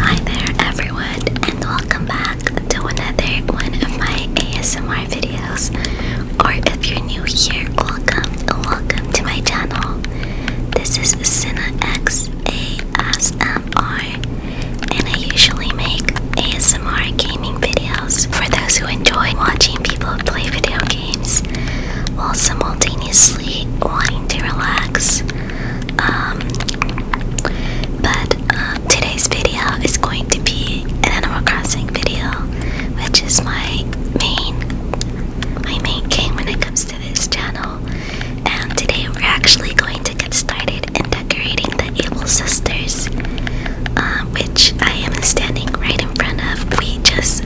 Hi there everyone and welcome back to another one of my ASMR videos or if you're new here, welcome, welcome to my channel. This is CinaX ASMR and I usually make ASMR gaming videos for those who enjoy watching people play video games while simultaneously wanting to relax um, but um, today's video is going to be an Animal Crossing video, which is my main my main game when it comes to this channel. And today we're actually going to get started in decorating the Able Sisters, um, which I am standing right in front of. We just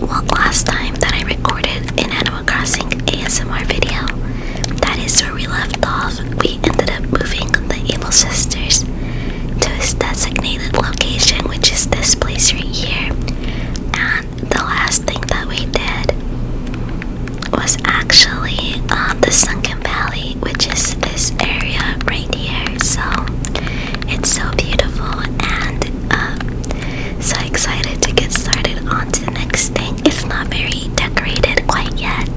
well, last time that I recorded in Animal Crossing ASMR video. That is where we left off. We ended up moving the evil Sisters to a designated location, which is this place right here. And the last thing that we did was actually on uh, the Sunken Valley, which is this area right here. So it's so beautiful and uh, so excited to get started on to the next thing it's not very decorated quite yet.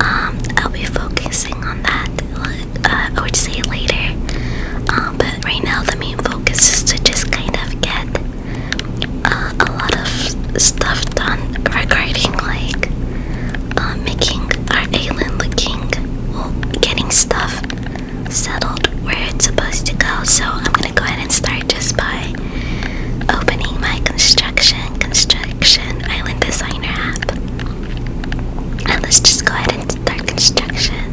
Um, I'll be focusing on that. Uh, say later. Um, but right now the main focus is to just kind of get uh, a lot of stuff done regarding like uh, making our island looking, getting stuff settled where it's supposed to go. So I'm gonna go ahead and start just by opening my construction construction island designer app. And let's just go ahead and start construction.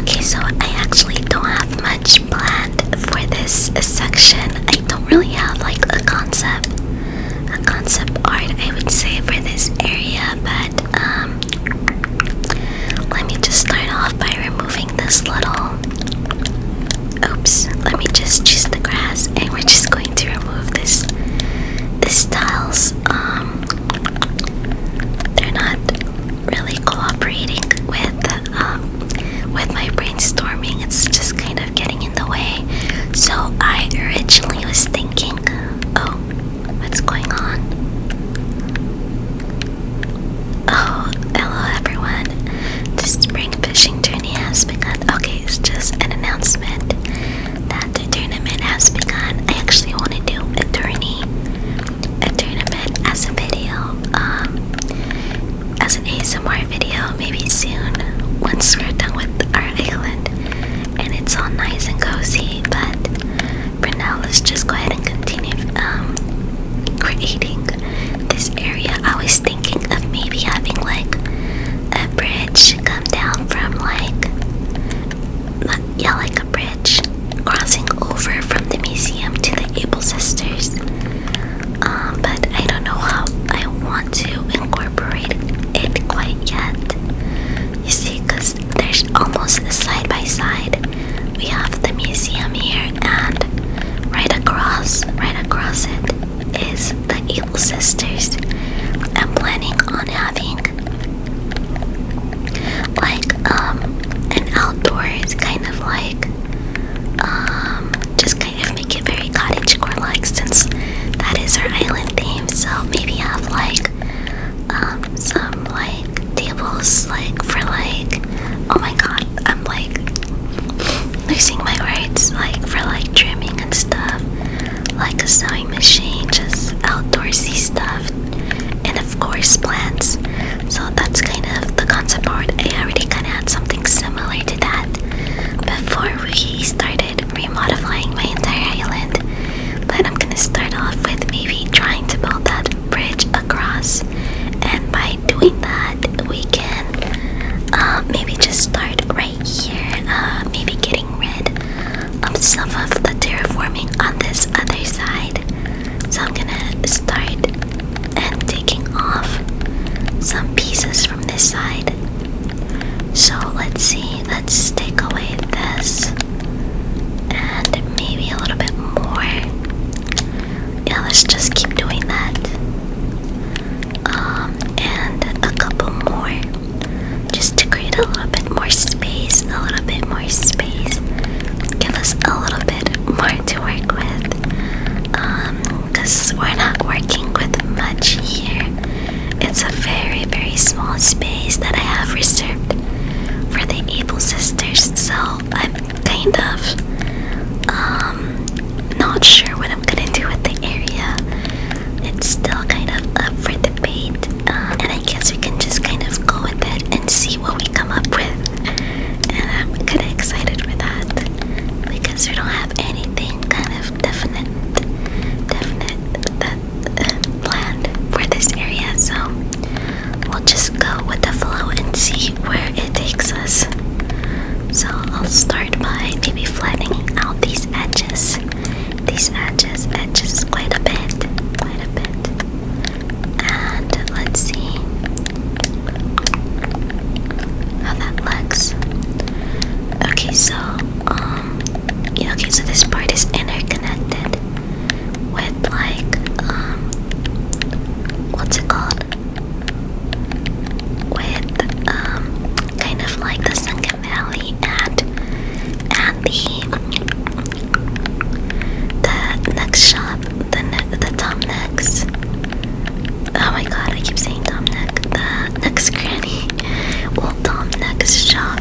Okay, so I actually don't have much planned for this section. I don't really have like a concept, a concept art I would say for this area, but um, let me just start off by removing this little. Oops, let me just choose the grass, and we're just going to remove this. These tiles, um, they're not really cooperating with um, with my brainstorming. It's just kind of getting in the way. So I originally was thinking, oh, what's going on? Oh, hello everyone. The spring fishing tournament has begun. Okay, it's just an announcement that the tournament has begun. I actually want to do a tourney, a tournament as a video, um, as an ASMR video, maybe soon once we're done with our island and it's all nice and cozy. But for now let's just go ahead and continue um, creating this area i was thinking of maybe having like a bridge come down from like yeah like a bridge crossing over from the museum to the able sisters um, but i don't know how i want to incorporate it quite yet you see because there's almost side by side. We have the museum here, and right across, right across it, is the Evil Sisters. I'm planning on having like um an outdoors kind of like um just kind of make it very cottagecore like since that is our island theme so maybe have like um, some like tables like for like oh my god I'm like losing my words like for like trimming and stuff like a sewing machine just outdoorsy stuff and of course plants so that's kind of the concept part. I already kind of had something similar to that before we started remodifying my entire island but I'm gonna start off with maybe trying to build that bridge across, and by doing that, we can uh, maybe just start right here, uh, maybe getting rid of some of the terraforming on this other side. So I'm gonna start and taking off some pieces from this side. So let's see, let's take away this and maybe a little bit more. Yeah, let's just keep doing that. Um, and a couple more just to create a little bit more space, a little bit more space, give us a little bit more to work with. Um, because we're not working with much here, it's a very, very small space that I have reserved for the Able Sisters. So, I'm kind of um not sure what I'm gonna do with the area. It's still kind of up uh, and I guess we can just kind of go with it and see what we come up with. And I'm kind of excited for that because we don't have anything kind of definite, definite that uh, planned for this area. So We'll just go with the flow and see where it takes us. So I'll start by maybe flattening out these edges. These edges, edges quite a bit, quite a bit. And let's see how that looks. Okay, so um, yeah, okay, so this part is interconnected with like um what's it called? With um kind of like the Sunken Valley and and the the next shop, the ne the Tom Next. Oh my god, I keep saying Tom Neck. The next granny. Well Tom Next shop.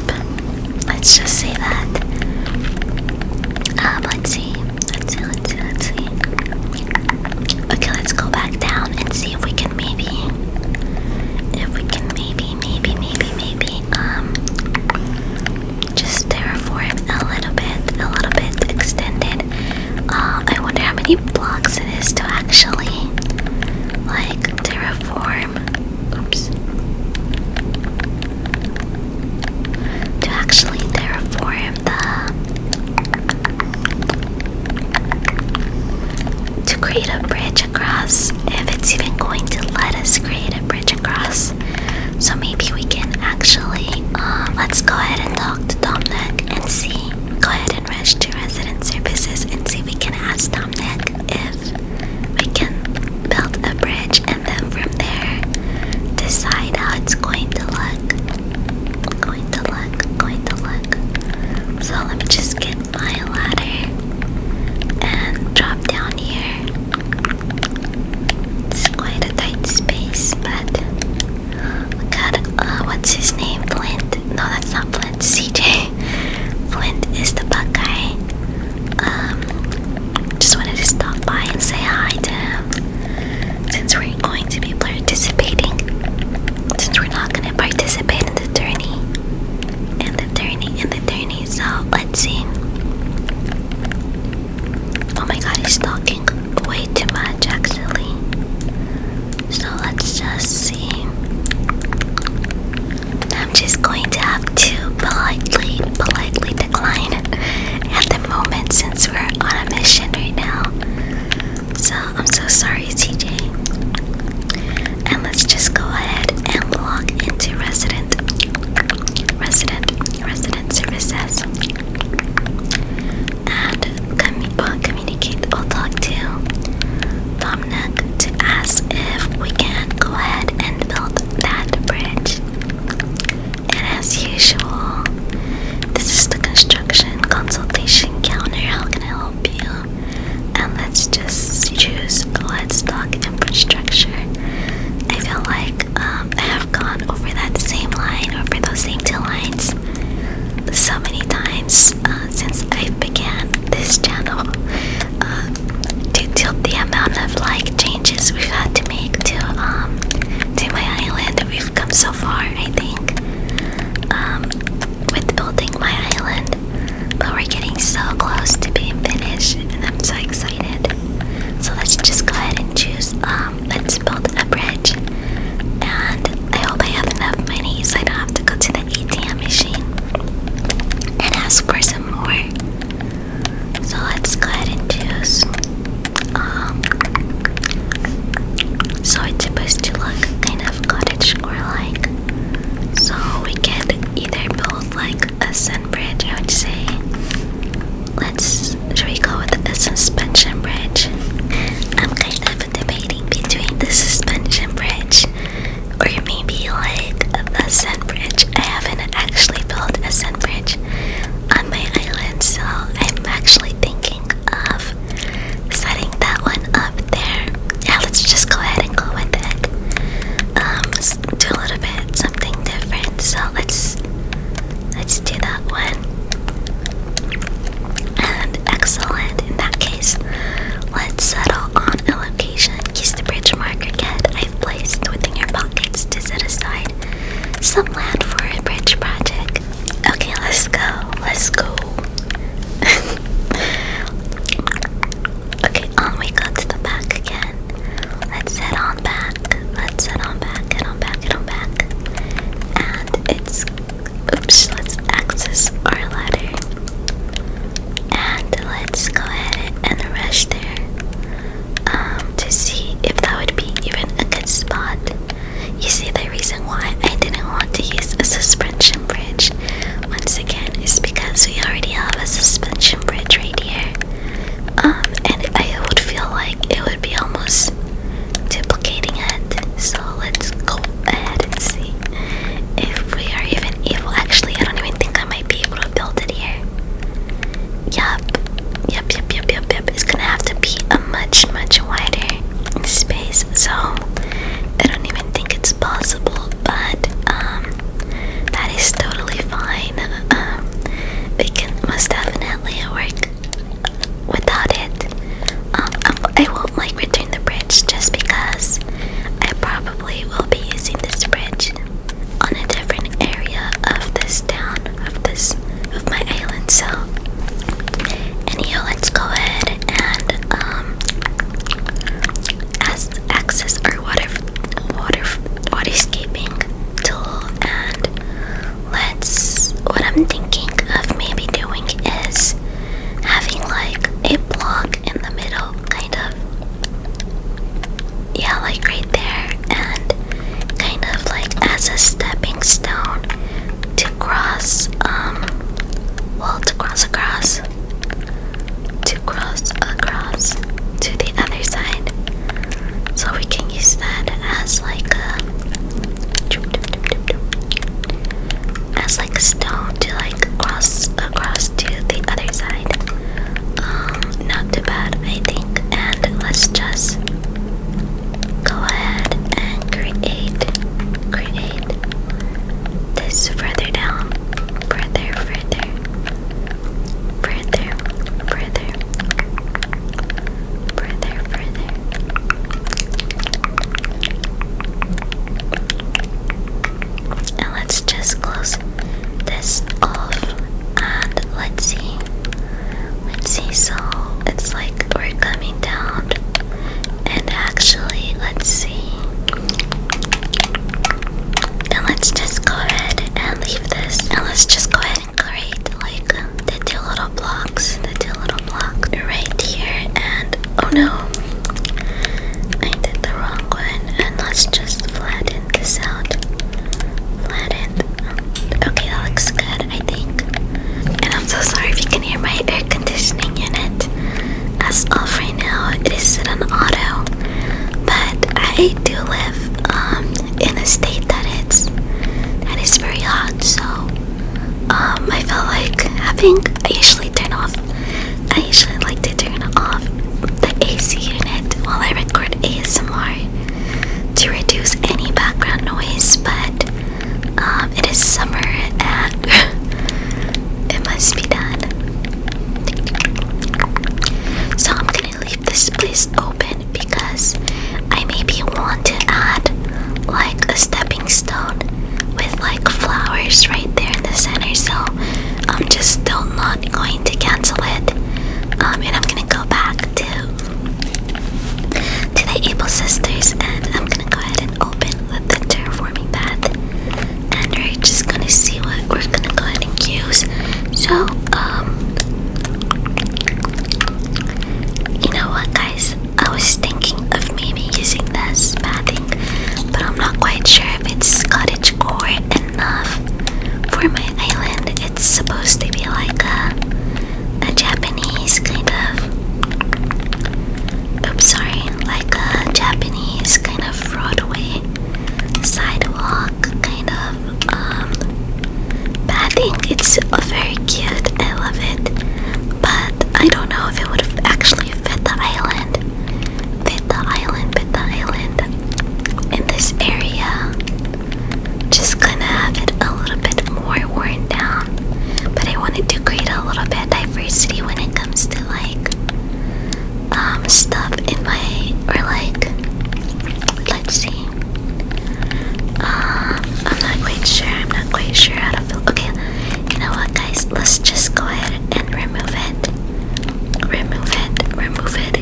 Let's just say that. Um, let's see. Let's see, let's see, let's see. Okay, let's go back down and see if we can maybe if we can maybe, maybe, maybe, maybe, um just terraform a little bit, a little bit extended. Uh, I wonder how many blocks it is to actually like terraform. Oops to actually terraform the to create a bridge across if it's even going to let us create a bridge across so maybe we can actually uh, let's go ahead and talk to Domnick and see go ahead and rush to resident services and see if we can ask Domnick if we can build a bridge and then from there decide how it's going to look. Going to look, going to look. So let me just get my ladder and drop down here. It's quite a tight space, but got uh, what's his name? Flint. No, that's not Flint. CJ. Flint is the Buckeye um, just wanted to stop by and say hi to him since we're going to be participating. Since we're not gonna participate in the tourney, and the tourney, in the tourney. So let's see. Oh my god, he's talking way too much actually. So let's just see. I'm just going to have to politely, politely at the moment since we're on a mission right now. So I'm so sorry, TJ. And let's just go ahead and log into resident, resident, resident services, and commu well, communicate or talk to Dominic to ask if we can go ahead and build that bridge. And as usual, this is the construction consultation counter. How can I help you? And let's just choose livestock infrastructure. I feel like um, I have gone over that same line, over those same two lines, so many times uh, since I began this channel. Uh, to tilt the amount of like changes we've had to make to um to my island. We've come so far, I think, um, with building my island, but we're getting so close to being finished, and I'm so excited. So let's just go ahead and choose. Um, let's build a bridge, and I hope I have enough money so I don't have to go to the ATM machine and ask for some more. So let's go ahead and choose. Um, so it's supposed to look kind of it cottagecore-like. So we could either build like a sun bridge, I would say. Let's should we go with a suspension bridge? I'm kind of debating between the suspension bridge or maybe like a sun bridge. I haven't actually built a sun bridge on my island, so I'm actually thinking of setting that one up there. Yeah, let's just go ahead and go with it. Um, do a little bit something different. So let's let's do that one. And excellent. In that case, let's settle on a location. Use the bridge marker cat I've placed within your pockets to set aside some land for a bridge project. Okay, let's go. Let's go. okay, on we go to the back again. Let's head on back. Let's head on back. Head on back. Head on back. And it's oops. Let's access our ladder. And let's go ahead and rush there um, to see if that would be even a good spot. You see, the reason why I didn't want to use a suspension bridge once again is because we already have a suspension bridge right here. Um, and I would feel like it would be almost duplicating it. So let's go ahead and see if we are even able. Actually, I don't even think I might be able to build it here. Yup. Yep, yep, yep, yep, yep. It's gonna have to be a much, much wider space. So I don't even think it's possible, but um, that is totally fine. Um, we can most definitely work without it. Um, I won't like return the bridge just because I probably will be using this bridge on a different area of this town of this of my island self. Anyhow, let's go ahead and um as access our water water waterscaping tool and let's what I'm thinking of maybe doing is having like a block in the middle kind of yeah like right there and kind of like as a stepping stone to cross, um, well, to cross across, to cross across to the other side. So we can use that as like a, as like a stone to like cross across to the other side. Um, not too bad, I think. And let's just go ahead and create create this further down further further further further further further and let's just close this off and let's see Let's see, so it's like we're coming down. And actually, let's see. And let's just go ahead and leave this. And let's just go ahead and create like the two little blocks. The two little blocks right here. And oh no, I did the wrong one. And let's just flatten this out flattened. Okay, that looks good, I think. And I'm so sorry if you can hear my air conditioning unit. That's off right now, it is set on auto. But I do live um, in a state that it's that is very hot, so um, I felt like having. I usually turn off. I usually like to turn off the AC unit while I record ASMR to reduce any background noise, but um, it is summer and it must be done. So I'm gonna leave this place open because I maybe want to add like a stepping stone with like flowers right there in the center. So I'm just still not going to cancel it. Um, and I'm gonna go back to to the Able Sisters, and I'm gonna go ahead and open the terraforming path, and we're just gonna see what we're gonna go ahead and use. So, um, you know what, guys? I was thinking of maybe using this pathing, but I'm not quite sure if it's cottage core enough for my island it's supposed to be like a, a Japanese kind of. Oops, sorry, like a Japanese kind of Broadway sidewalk kind of um, pathing. It's very cute, I love it, but I don't know if it would have actually fit the island. Fit the island, fit the island in this area just gonna have it a little bit more worn down. But I wanted to create a little bit of diversity when it comes to like um stuff in my or like let's see. Um I'm not quite sure, I'm not quite sure how to feel okay, you know what guys, let's just go ahead and remove it. Remove it, remove it.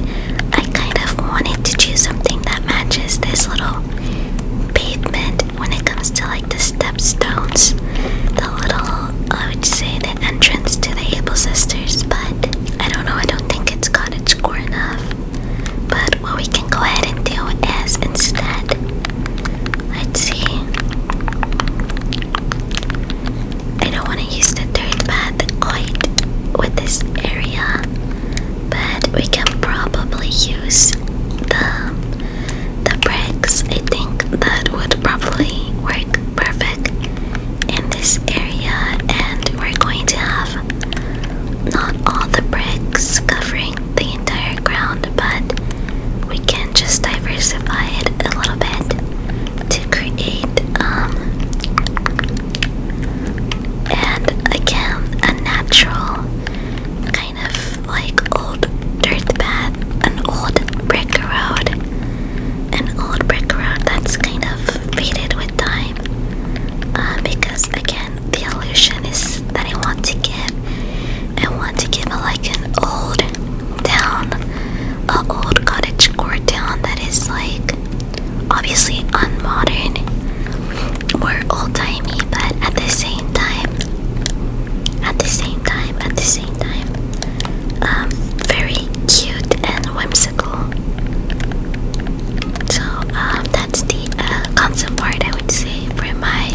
I kind of wanted to choose something that matches this little pavement when it comes to like the step stones, the little, I would say the entrance to the Able Sisters, but I don't know, I don't think it's it's cottage core enough. But what we can go ahead and do is instead, let's see. I don't want to use the third path quite with this area but we can probably use the the bricks. I think that would probably work perfect in this area, and we're going to have not all the bricks covering the entire ground, but we can just diversify it a little bit to create um and again a natural kind of like old dirt path, an old brick road, an old brick road that's kind of faded with time. Uh, because again, the illusion is that I want to give, I want to give a, like an old town, a old cottage core town that is like obviously unmodern more old-timey, but at the same time, at the same time, at the same time, um, very cute and whimsical. So um, that's the uh, concept art I would say for my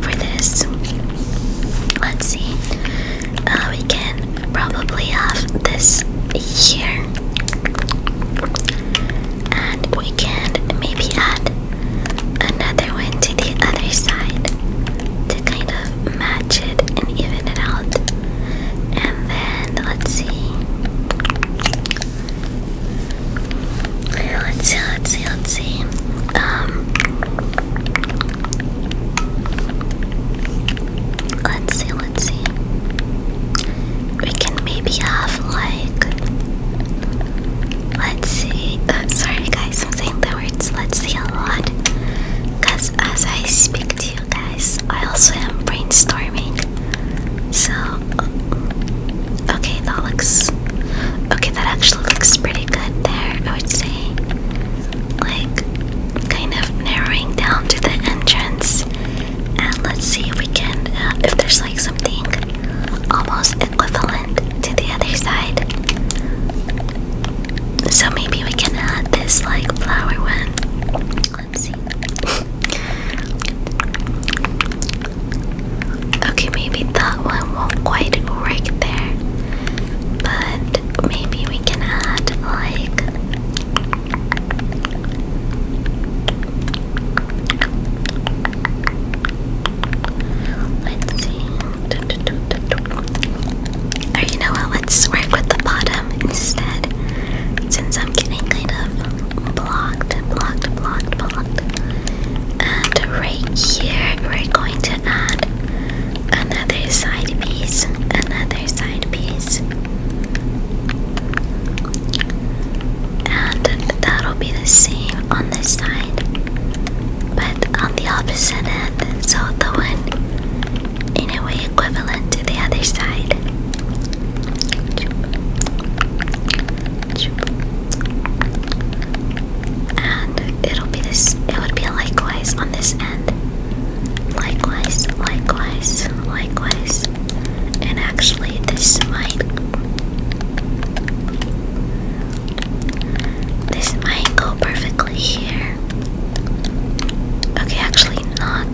for this. Let's see. Uh, we can probably have this here and we can maybe add another one to the other side to kind of match it and even it out. And then let's see. Let's see, let's see, let's see. Um, let's see, let's see we can maybe have like let's see oh, sorry guys I'm saying the words let's see a lot because as I speak to you guys I also am brainstorming so okay that looks okay that actually looks pretty good there I would say like kind of narrowing down to the entrance and let's see if we can uh, if there's like something almost equivalent to the other side so maybe we can add this like flower one let's see okay maybe that one won't quite work there but maybe we can add like Let's see. Or you know what? Let's work with the bottom instead. Since I'm getting kind of blocked, blocked, blocked, blocked. And right here, we're going to add another side piece. Another side piece and that'll be the same on this side but on the opposite end so the one in a way equivalent to the other side and it'll be this it would be likewise on this end likewise likewise likewise and actually this might this might go perfectly here. Okay, actually not.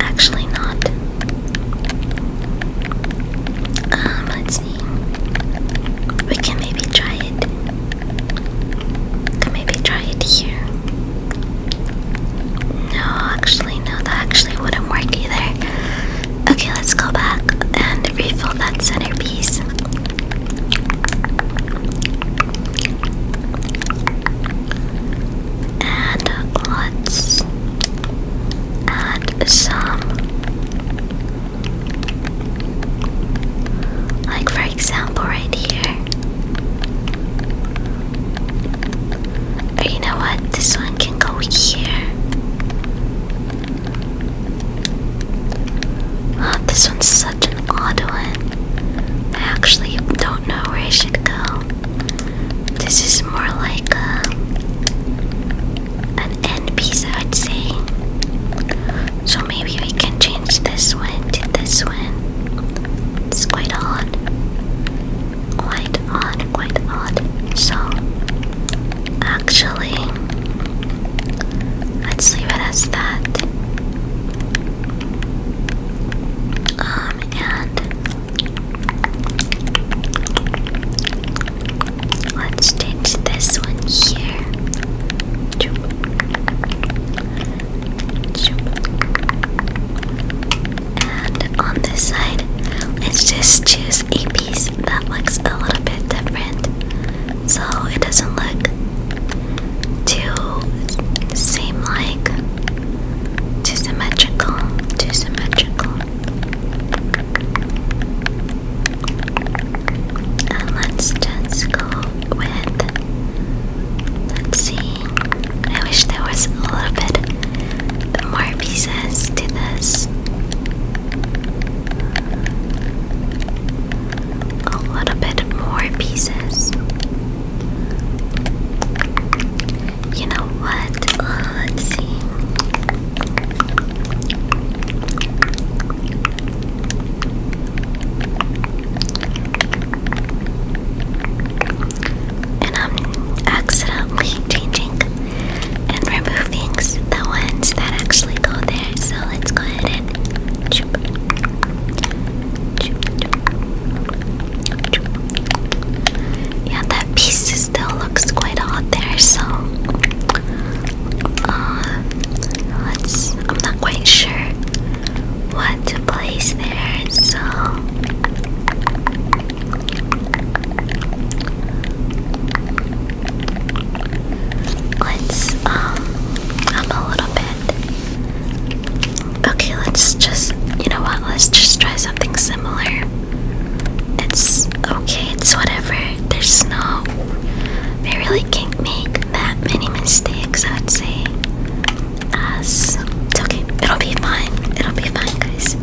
Actually not. Um, let's see. We can maybe try it. Can maybe try it here. No, actually actually, no, that actually wouldn't work either. Okay, let's go back and refill that centerpiece. And let's add some, like for example, right here. Or you know what? This one I can go here. Oh, this one's such an odd one. I actually don't know where I should go. This is more like a, um, an end piece, I would say. So maybe we can change this one to this one. It's quite odd quite odd, quite odd. So, actually, let's leave it as that. Um, and let's ditch this one here. And on this side, let's just choose a piece that looks a little bit different so it doesn't look too same like too symmetrical, too symmetrical. And let's just go with let's see. I wish there was a little bit more pieces to this. A little bit more pieces. You know what? let's see. And I'm accidentally changing and removing the ones that actually go there. So let's go ahead and. Choop, Yeah, that piece still looks quite odd there. So uh, let's. I'm not quite sure what to place there. So. Let's um up a little bit. Okay, let's just you know what, let's just try something similar. It's okay, it's whatever. There's no we really can't make that many mistakes I would say. Us. okay. It'll be fine. It'll be fine guys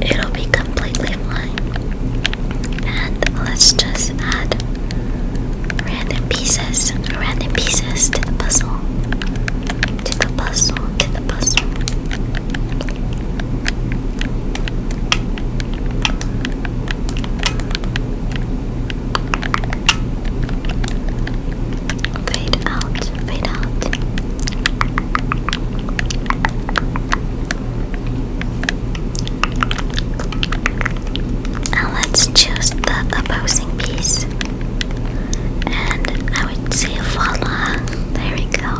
it'll be completely fine. And let's just add random pieces, random pieces to the puzzle. To the puzzle, to the puzzle. Fade out, fade out. Now let's choose the opposing piece. And I would say voila. There we go.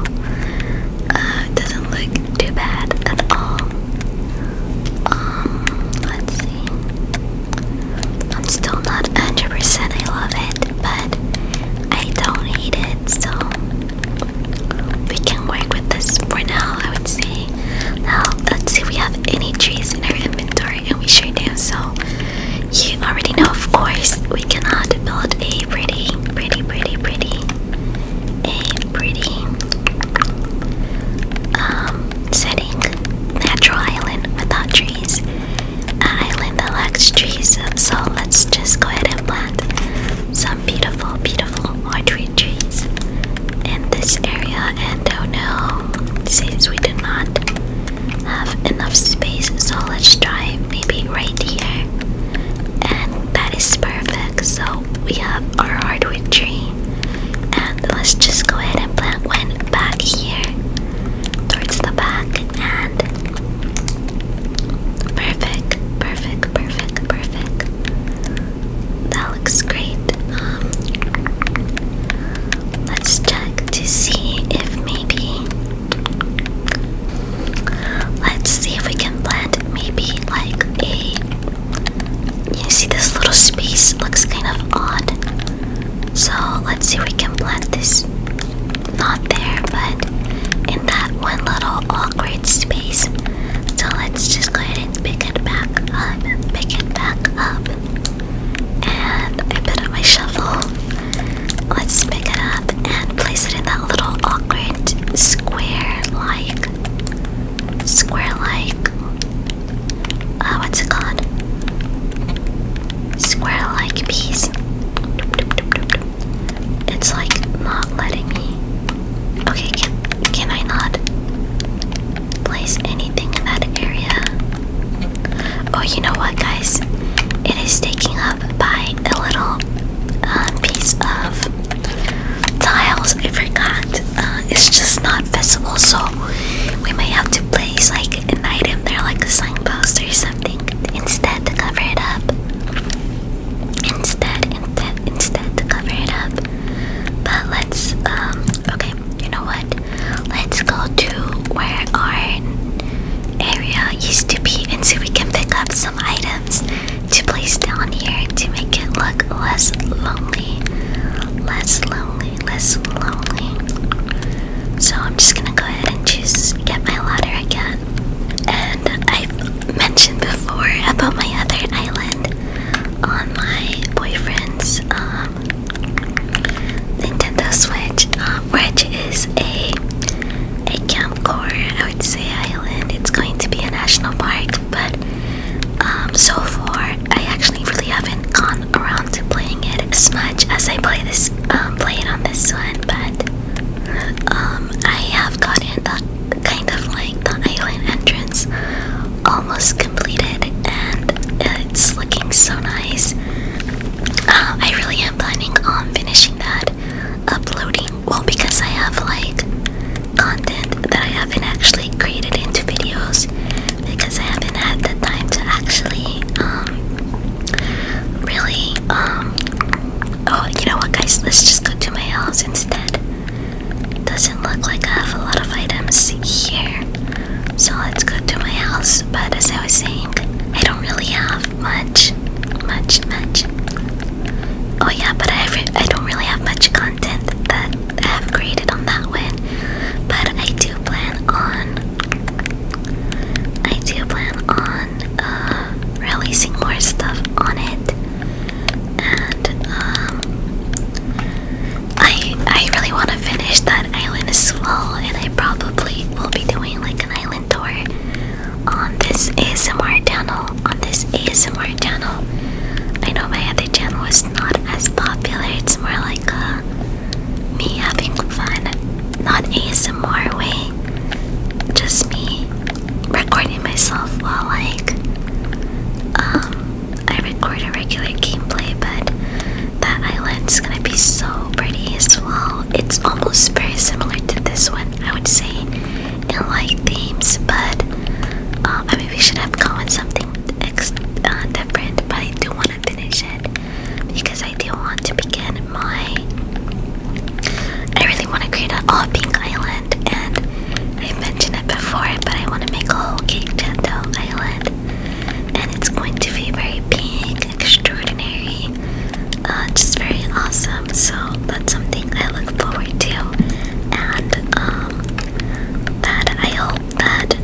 Uh, doesn't look too bad at all. Um, let's see. I'm still not 100% I love it, but I don't hate it, so we can work with this for now, I would say. Now, let's see if we have any trees in our inventory, and we sure do. So, you already know, of course, we cannot build a pretty, pretty, pretty, pretty, a pretty um, setting natural island without trees. Linda likes trees, so let's just go ahead and plant some beautiful, beautiful orchid trees in this area. And oh no, since we do not have enough space, so let's try maybe right here. And that is perfect. So we have our hardwood tree, and let's just go ahead and plant one back here towards the back. And Perfect, perfect, perfect, perfect. That looks great. Um, let's check to see if maybe. Let's see if we can plant maybe like a. You see, this little space looks kind of odd. So let's see if we can plant this not there, but in that one little awkward space. So let's just go ahead and pick it back up, pick it back up. And I put on my shovel. Let's pick it up and place it in that little awkward square-like, square-like, uh, what's it called? Square-like piece. It's like not letting me. Okay, can, can I not place anything in that area? Oh, you know what, guys? It is taking up by a little um, piece of tiles. I forgot. Uh, it's just not visible, so we may have to place like an item there, like a signpost or something, instead to cover it up. Instead, instead, instead to cover it up. But let's, um, okay, you know what? Let's go to where our area used to be and see so we can pick up some items to place down here to make it look less lonely. Less lonely, less lonely. So I'm just gonna go ahead and just get my ladder again. And I've mentioned before about my other island on my boyfriend's um, Nintendo Switch, um, which is a a campcore. I would say island. It's going to be a national park, but um, so far I actually really haven't gone around to playing it as much as I play this play it on this one. But um, I have gotten the kind of like the island entrance almost completed, and it's looking so nice. Uh, I really am planning on finishing that, uploading. Well, because I have like content that I haven't actually created into videos, because I haven't had the time to actually um, really um, Oh, you know what, guys? Let's just go to my house instead. Doesn't look like I have a lot of items here. So let's go to my house. But as I was saying, I don't really have much. Much, much. Oh, yeah, but I, have, I don't really have much content that I have created on that one. But I do plan on. I do plan on uh, releasing more stuff on it, and um, I I really want to finish that island as well, and I probably will be doing like an island tour on this ASMR channel. On this ASMR channel, I know my other channel is not as popular. It's more like a uh, me having fun, not ASMR way, just me recording myself while like um I record a regular gameplay, but that island's gonna be so pretty as well. It's almost very similar to this one, I would say, in like themes, but um I mean we should have gone with something ex uh, different, but I do want to finish it because I do want to begin my I really want to create an all pink island, and I've mentioned it before, but I want to make a whole cake tanto island, and it's going to be very big, extraordinary, uh, just very awesome. So that's something I look forward to, and um, that I hope that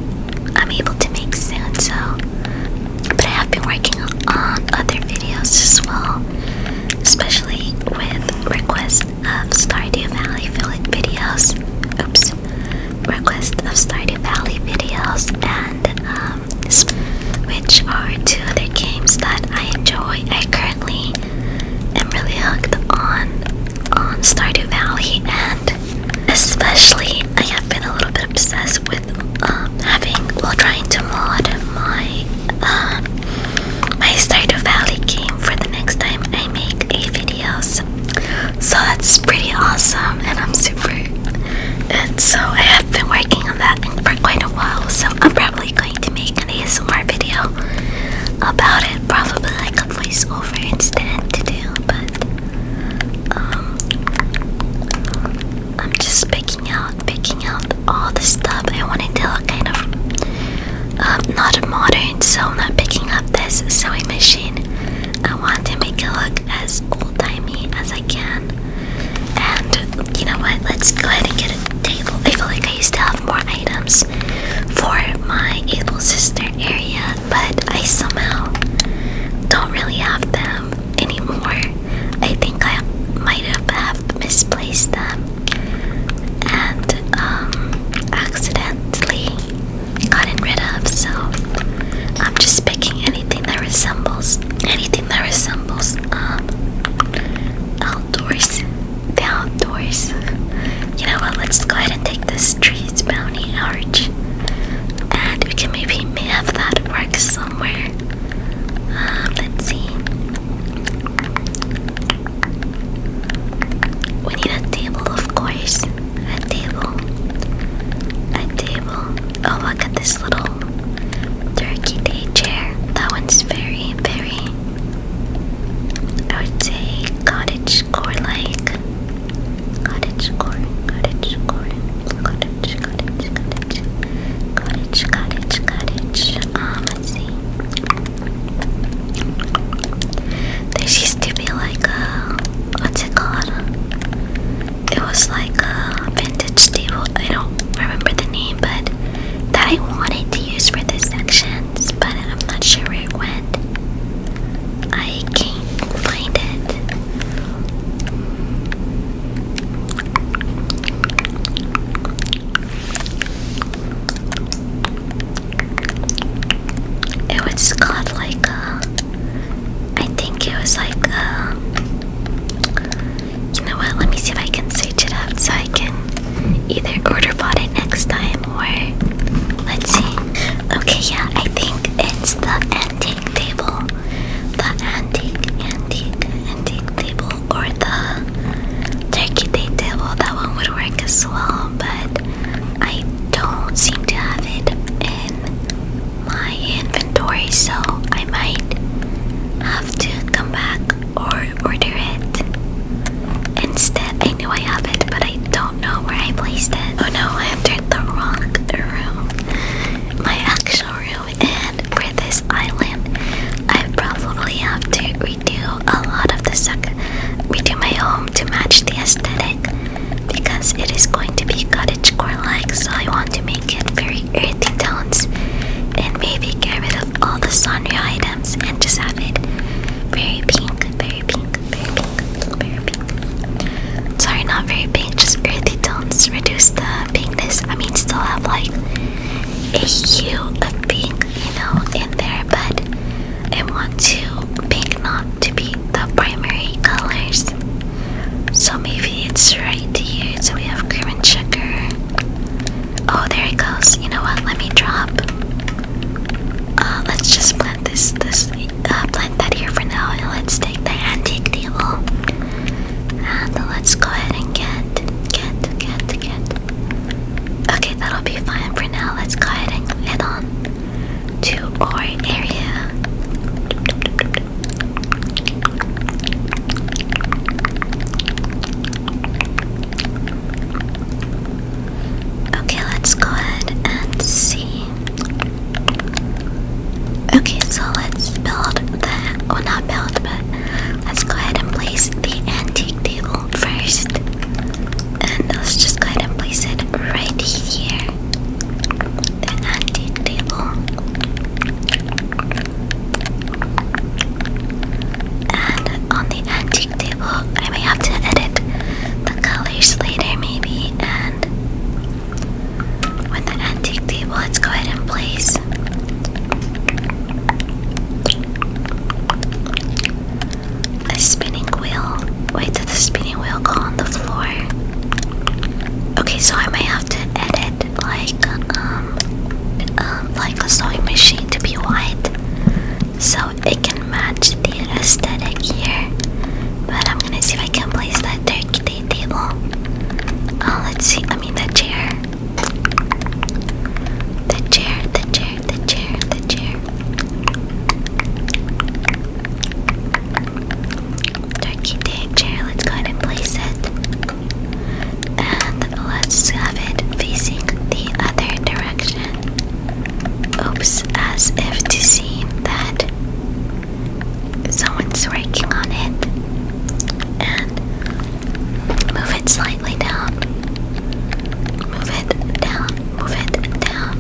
I'm able to make soon. So, but I have been working on other videos as well especially with requests of Stardew Valley videos. Oops, requests of Stardew Valley videos, and um, which are two other games that I enjoy. I currently am really hooked on on Stardew Valley, and especially I have been a little bit obsessed with um, having well trying to mod my. Um, my start a valley came for the next time I make a video, So that's pretty awesome and I'm super And So I have been working on that for quite a while. So I'm probably going to make an ASMR video about it. Probably like a voiceover instead to do, but um I'm just picking out, picking out all the stuff. I wanted to a kind of um, not modern, so I'm not picking up this sewing machine. I want to make it look as old timey as I can. And you know what? Let's go ahead and get a table. I feel like I used to have more items for my able sister area, but I somehow don't really have them anymore. I think I might have misplaced them and um, accidentally gotten rid of. So I'm just picking anything that resembles anything that resembles um, outdoors, the outdoors. You know what? Let's go ahead and take this trees bounty arch, and we can maybe may have that work somewhere. Um, let's see. We need a table, of course. A table. A table. Oh, look at this little turkey day chair. That one's very, very, I would say, cottage core like. Cottage core, cottage core, cottage, cottage, cottage, cottage, cottage, cottage. Um, there used to be like a what's it called? It was like a vintage table. I don't remember the name, but that I wanted to use for this sections, but I'm not sure where it went. I can't find it. It was called like a. Uh, I think it was like a. Uh, you know what? Let me see if I can search it up so I can either order bought it next time or let's see. Okay, yeah, I think it's the antique table. The antique, antique, antique table or the turkey day table, that one would work as well, but I don't seem to have it in my inventory, so I might have to come back or order it instead. I know I have it, but I don't know where I placed it. Oh no, I entered the wrong room, my actual room, and for this island, I probably have to do a lot of the stuff. We do my home to match the aesthetic because it is going to be cottagecore like so I want to make it very earthy tones and maybe get rid of all the sunray items and just have it very pink, very pink, very pink, very pink. Sorry, not very pink, just earthy tones. Reduce the pinkness. I mean, still have like a hue of pink, you know, in there, but I want to pick not to be the primary colors. So maybe it's right here. So we have cream and sugar. Oh, there it goes. You know what? Let me drop. Uh, let's just plant this, this, uh, plant that here for now, and let's take the antique table. And let's go ahead and get, get, get, get. Okay, that'll be fine for now. Let's go ahead and head on to our area. Okay, let's go ahead and see. Okay, so let's build the, oh not build, but let's go ahead and place the antique table first. And let's just go ahead and place it right here. The antique table. And on the antique table, I may have to edit the colors later, maybe. And with the antique table, let's go ahead and place a spinning wheel. Wait, did the spinning wheel go on the floor? Okay, so I may have to edit like um um like a sewing machine to be white, so it can match the aesthetic here. But I'm gonna see if I can place that turkey table. Oh, let's see. I mean that chair. The chair, the chair, the chair, the chair. Turkey day chair, let's go and place it. And let's have it facing the other direction. Oops, as if to see that someone's working on it. And Move it slightly down. Move it down. Move it down.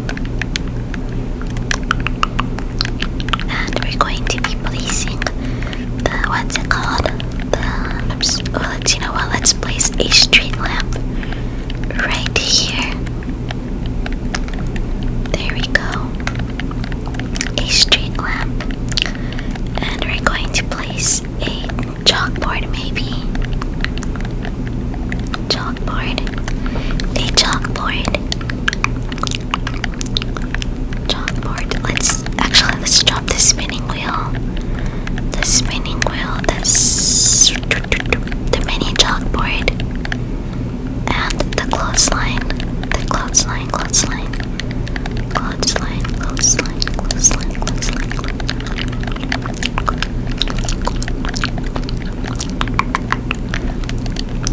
And we're going to be placing the what's it called? The oops. Well, you know what. Let's place a street lamp right here. There we go. A street lamp. And we're going to place a Chalkboard, maybe. Chalkboard. A chalkboard. Chalkboard. Let's actually let's drop the spinning wheel. The spinning wheel. That's the mini chalkboard. And the clothesline. The clothesline. Clothesline. Clothesline. Clothesline. Clothesline. Clothesline.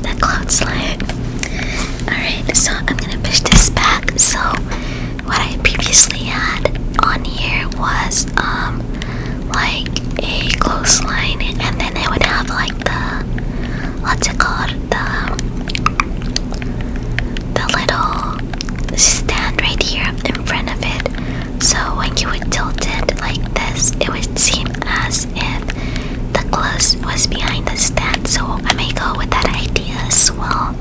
That cloud Alright, so I'm gonna push this back. So what I previously had on here was um like a clothesline and then it would have like the what's it called? The the little stand right here in front of it. So when you would tilt it like this, it would seem as if the gloves was behind the stand. So I may go with that idea as well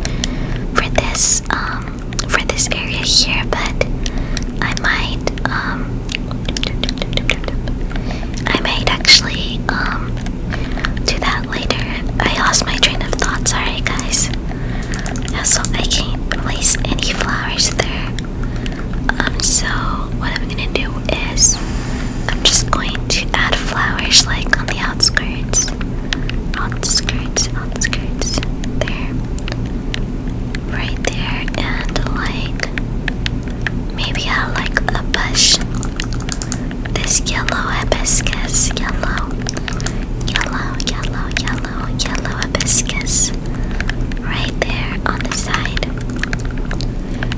for this um for this area here, but I might um I might actually um do that later. I lost my train of thoughts. sorry guys so I can't place any flowers there. Um, so what I'm gonna do is I'm just going to add flowers like on the outskirts, outskirts, outskirts, there, right there, and like maybe I'll like a bush. This yellow hibiscus, yellow, yellow, yellow, yellow yellow, hibiscus right there on the side.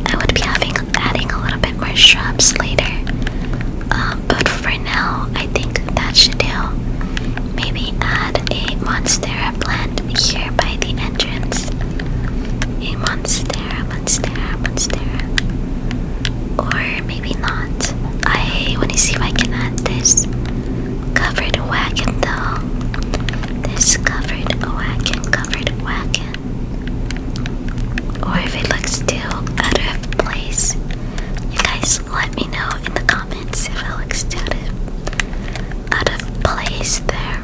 I would be adding a little bit more shrubs later, um, but for now, I think that should do. Maybe add a monstera plant here by the entrance. A monstera, monstera, monstera, or maybe not. I want to see if I can add this covered wagon though. This covered wagon, covered wagon. Or if it looks too out of place. You guys let me know in the comments if it looks too out of place there.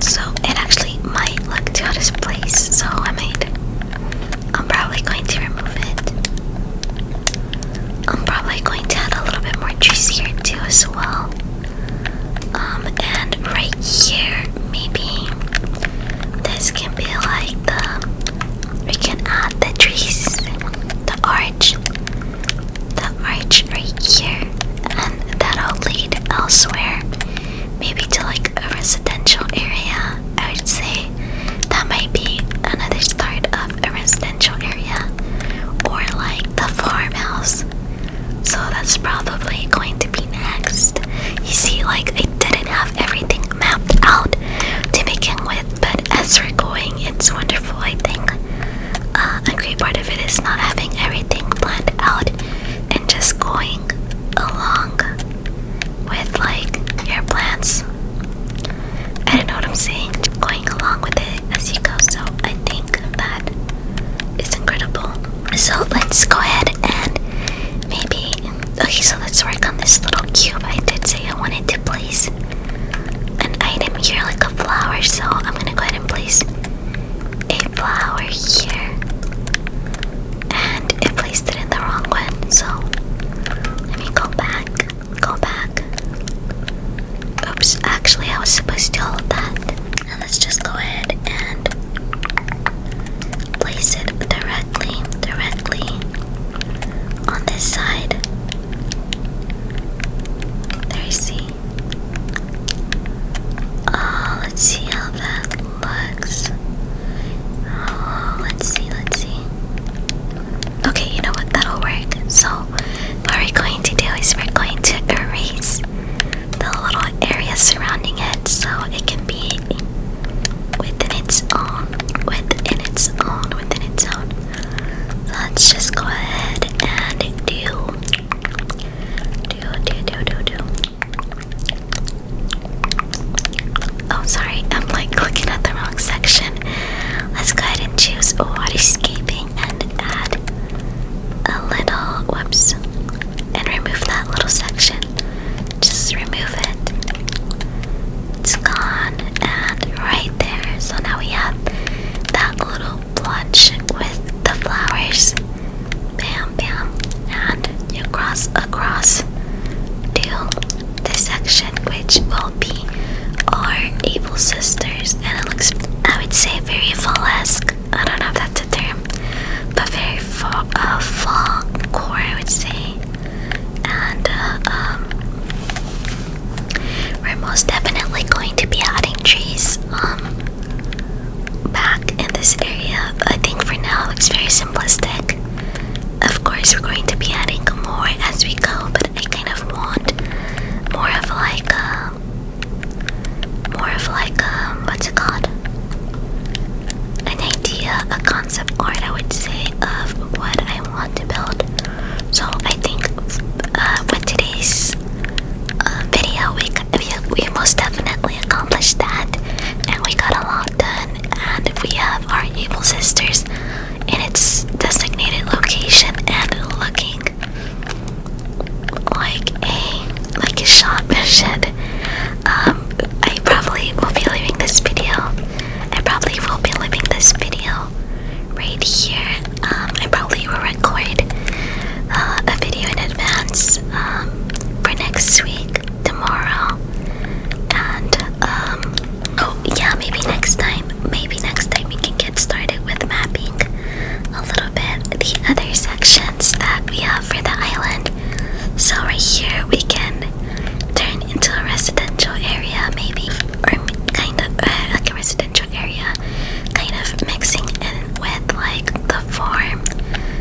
So it actually might look too out of place, so I made. I'm probably going to remove it. I'm probably going to add a little bit more trees here too as well. Um, and right here, maybe this can be like the, we can add the trees, the arch, the arch right here, and that'll lead elsewhere, maybe to like a residential area. I would say that might be another start of a residential area or like the farmhouse. So that's probably going to be next. You see, like, I didn't have everything mapped out to begin with, but as we're going, it's wonderful, I think. Uh, a great part of it is not having everything planned out and just going along with like your plants, I don't know what I'm saying, going along with it as you go. So I think that is incredible. So let's go ahead and maybe okay. So let's work on this little cube. I did say I wanted to place an item here, like a flower. So I'm gonna go ahead and place a flower here and it placed it in the wrong one. So let me go back, go back. Oops, actually, I was supposed to hold that. And let's just go ahead and place it directly, directly on this side. There you see. Oh, let's see how that looks. Oh, let's see, let's see. Okay, you know what? That'll work. So, what we're going to do is we're going to erase the little area surrounding it so it can be within its own, within its own, within its own. Let's just go ahead and do, do, do, do, do, do, Oh, sorry, I'm like looking at the wrong section. Let's go ahead and choose water waterscaping and add a little. Whoops. And remove that little section. Just remove it. It's gone. And right there. So now we have that little blotch with the flowers. Bam, bam. And you cross across to the section which will be our able sisters and it looks I would say very fall-esque I don't know if that's a term but very fall, uh, fall core I would say and uh, um, we're most definitely going to be adding trees um, back in this area I think for now it's very simple of course, we're going to be adding more as we go, but I kind of want more of like a. Uh, more of like a. Um, what's it called? An idea, a concept art, I would say, of what I want to build. So I think uh, with today's uh, video, we, we, we most definitely accomplished that, and we got a lot done. And we have our able sisters in its designated location and looking like a like a shot should. Um, I probably will be leaving this video. I probably will be leaving this video right here. Um, I probably will record uh, a video in advance um, for next week tomorrow. And, um, oh, yeah, maybe next time. Maybe next time we can get started with mapping a little bit the other sections that we have for the island. So, right here, we can turn into a residential area, maybe, or kind of uh, like a residential area, kind of mixing in with like the farm.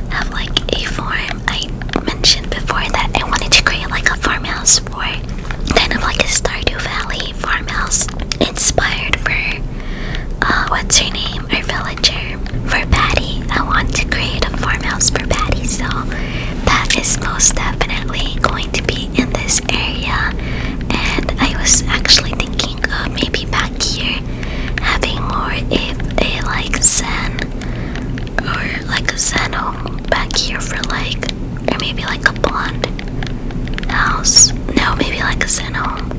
Have like a farm. I mentioned before that I wanted to create like a farmhouse kind of like a Stardew Valley farmhouse inspired for uh, what's her name, our villager. For Patty, I want to create a farmhouse for Patty, so that is most definitely going to be in this area. And I was actually thinking of maybe back here having more if they like Zen or like a zen home back here for like, or maybe like a blonde house. No, maybe like a zen home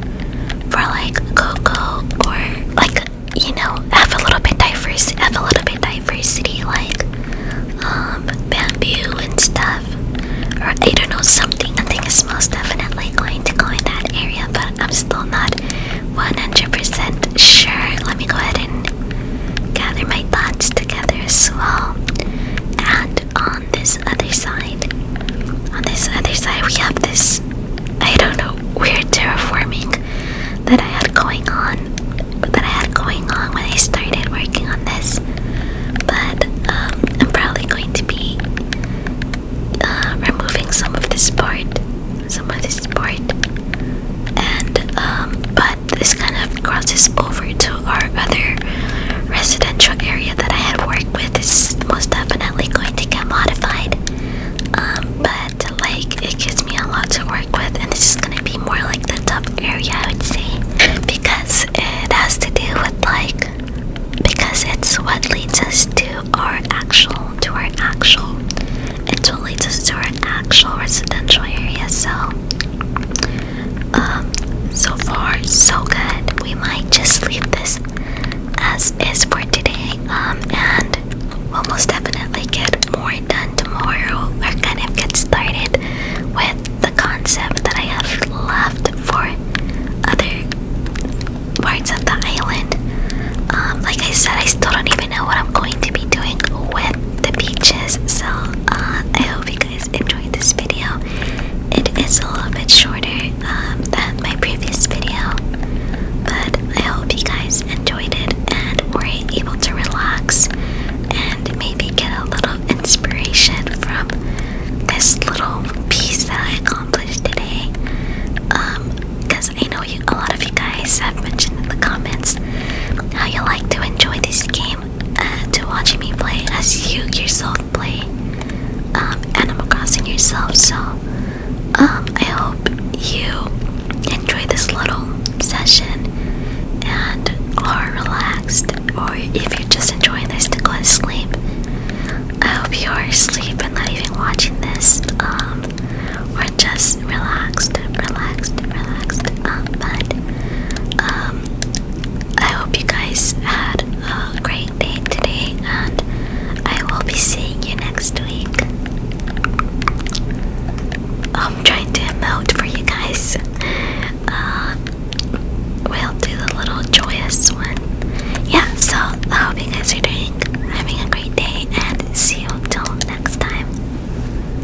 for like cocoa or like, you know, have a little bit diversity, have a little bit diversity like um, bamboo and stuff. Or I don't know, something. I think it smells definitely going to go in that area, but I'm still not 100% sure, let me go ahead and gather my thoughts together as well. And on this other side, on this other side, we have this I don't know weird terraforming that I had going on, that I had going on when I started working on this. But um, I'm probably going to be um, removing some of this part, some of this part, and um, this kind of crosses over to our other residential area that I had worked with. This is most definitely going to get modified, um, but like it gives me a lot to work with, and this is gonna be more like the top area, I would say, because it has to do with like because it's what leads us to our actual to our actual it totally us to an actual residential area, so um, so far so good. We might just leave this as is for today. Um, and we'll most definitely get more done tomorrow. We're kind of get started with the concept that I have left for other parts of the island. Um, like I said, I still don't even I know what I'm going to be doing with the peaches. So uh, I hope you guys enjoyed this video. It is a little bit shorter um, than my previous video, but I hope you guys enjoyed it and were able to relax and maybe get a little inspiration from this little piece that I accomplished today. Because um, I know you, a lot of you guys have mentioned in the comments how you like to enjoy these games uh, to watching me play as you yourself play um, Animal Crossing yourself. So um, I hope you enjoy this little session and are relaxed, or if you're just enjoying this to go to sleep. I hope you are asleep and not even watching this, um, or just relaxed, relaxed, relaxed. Um, but um, I hope you guys had a great day today, and I will be seeing you next week. Oh, I'm trying to emote for you guys. Uh, we'll do the little joyous one. Yeah, so I hope you guys are doing having a great day and see you till next time.